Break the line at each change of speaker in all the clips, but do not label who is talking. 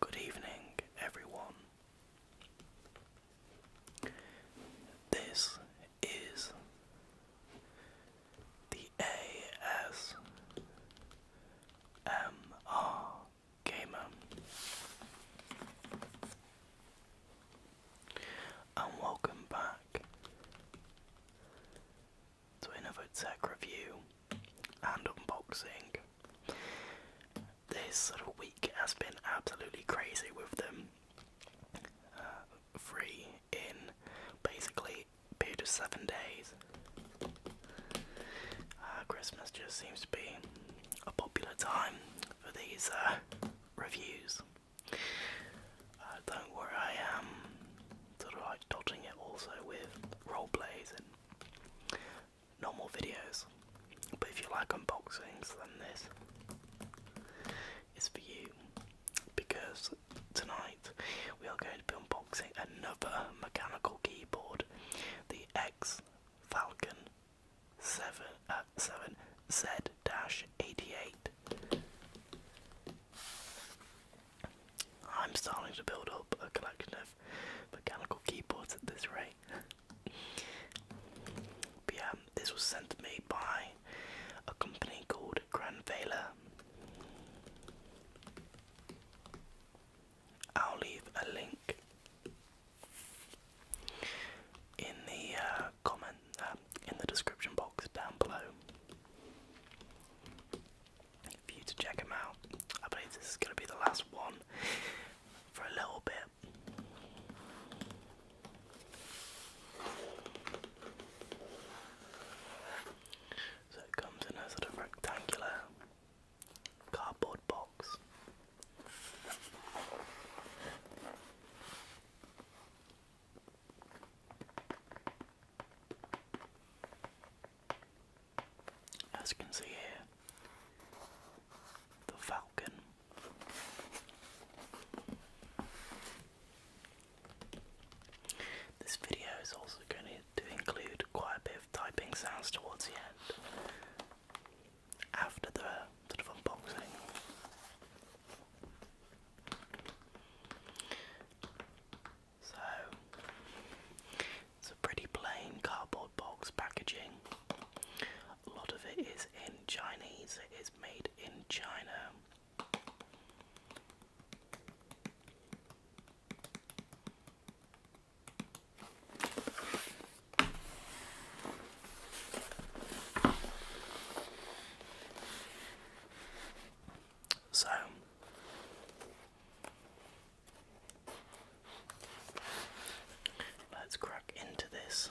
Good evening, everyone, this is the ASMR gamer. And welcome back to another tech review and unboxing. This sort of week has been absolutely crazy with them. Uh, free in basically period of seven days. Uh, Christmas just seems to be a popular time for these uh, reviews. don't worry, I am sort of like dodging it also with role plays and normal videos. But if you like unboxings, then this is for you because tonight we are going to be unboxing another mechanical keyboard, the X Falcon 7 uh, 7 Z-88. I'm starting to build up a collection of mechanical keyboards at this rate. but yeah, this was sent to me by a company called Granvela. I'll leave a link in the uh, comment uh, in the description box down below for you to check them out. I believe this is going to be the last one for a little bit. So it comes in a sort of rectangular cardboard box. As you can see here, the Falcon. This video is also going to include quite a bit of typing sounds towards the end after the sort of unboxing. So it's a pretty plain cardboard box packaging. A lot of it is in Chinese, it is made in China. So, Let's crack into this.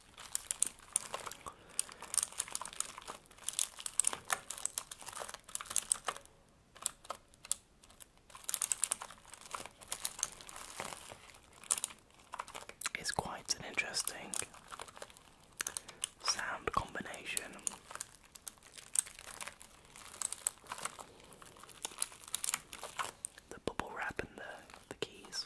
It's quite an interesting sound combination the bubble wrap and the, the keys.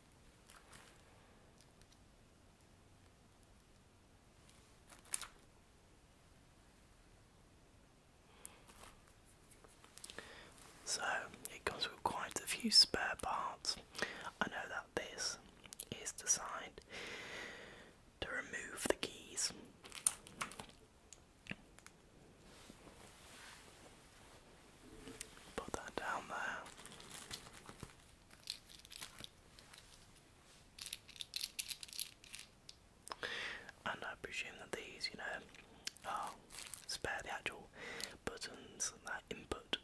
So it comes with quite a few spare parts. I know that this is designed to remove the keys. Put that down there. And I presume that these, you know, are spare the actual buttons and that input.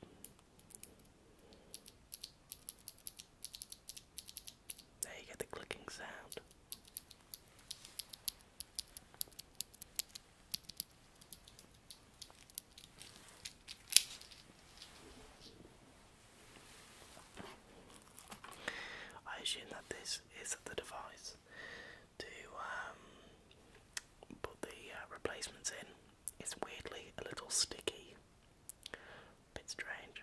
There you get the clicking sound. I assume that this is the device to um, put the uh, replacements in. It's weirdly a little sticky, bit strange.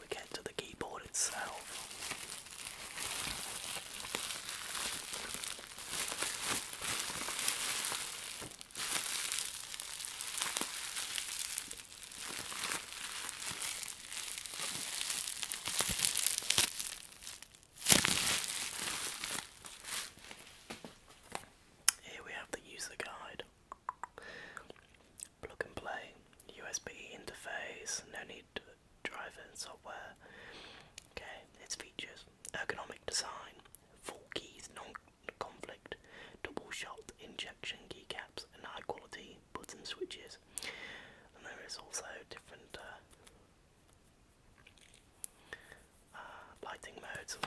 we get to the keyboard itself. Here we have the user guide. Plug and play, USB interface, no need to driver and software. Okay, its features, ergonomic design, full keys, non-conflict, double-shot injection keycaps and high-quality button switches. And there is also different uh, uh lighting modes.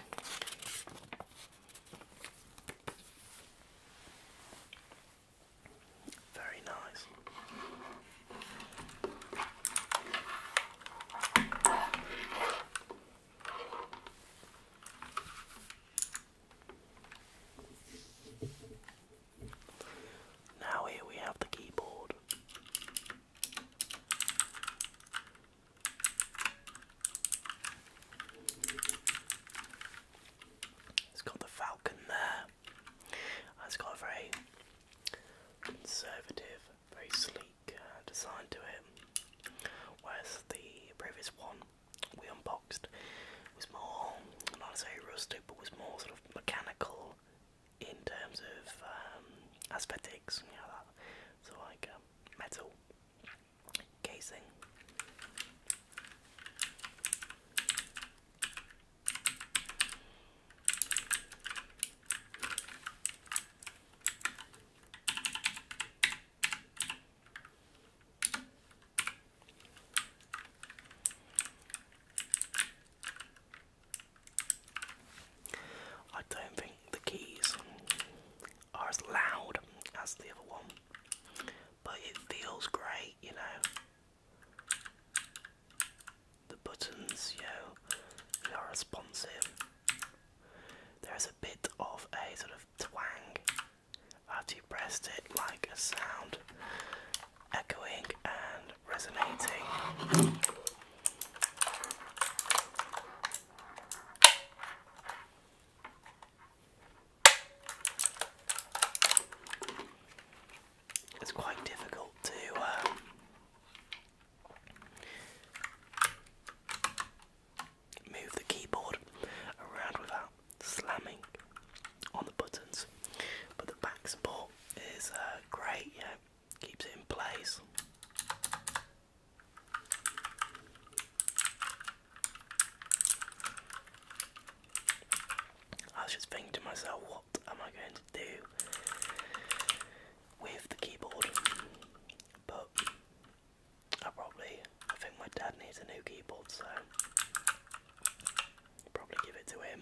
Very nice. Now, here we have the keyboard. It's got the falcon there. It's got a very conservative, very sleek uh, design to it. Whereas the previous one we unboxed was more, not say rustic, but was more sort of mechanical in terms of um, aesthetics, you know, that sort of like um, metal casing. I don't think the keys are as loud as the other one, but it feels great, you know. The buttons, you know, they are responsive. There is a bit of a sort of twang after you pressed it, like a sound echoing and resonating. It's quite difficult to um, move the keyboard around without slamming on the buttons, but the back support is uh, great, keeps it in place. I was just thinking to myself, what am I going to do with the keyboard? But I probably, think my dad needs a new keyboard, so probably give it to him.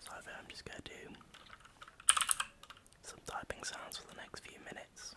So I am just going to do some typing sounds for the next few minutes.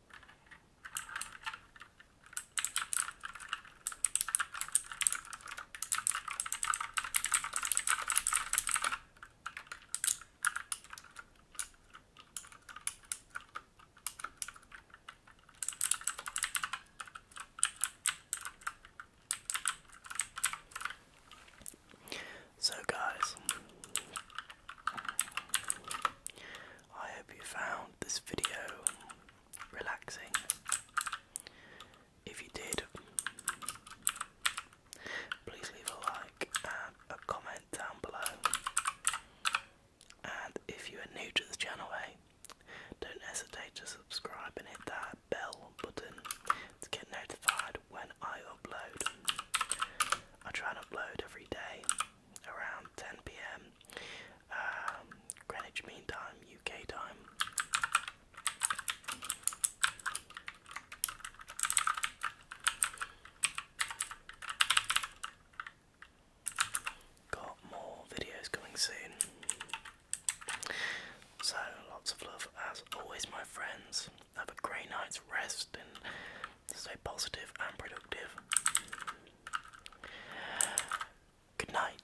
So, guys, I hope you found this video relaxing. If you did, please leave a like and a comment down below. And if you are new to this channel, hey, don't hesitate to subscribe and hit that bell button to get notified when I upload. I try and upload every day, around 10 p.m. Um, Greenwich Mean Time, UK time. Got more videos coming soon. So, lots of love as always, my friends. Have a great night's rest and Stay positive and productive. Good night.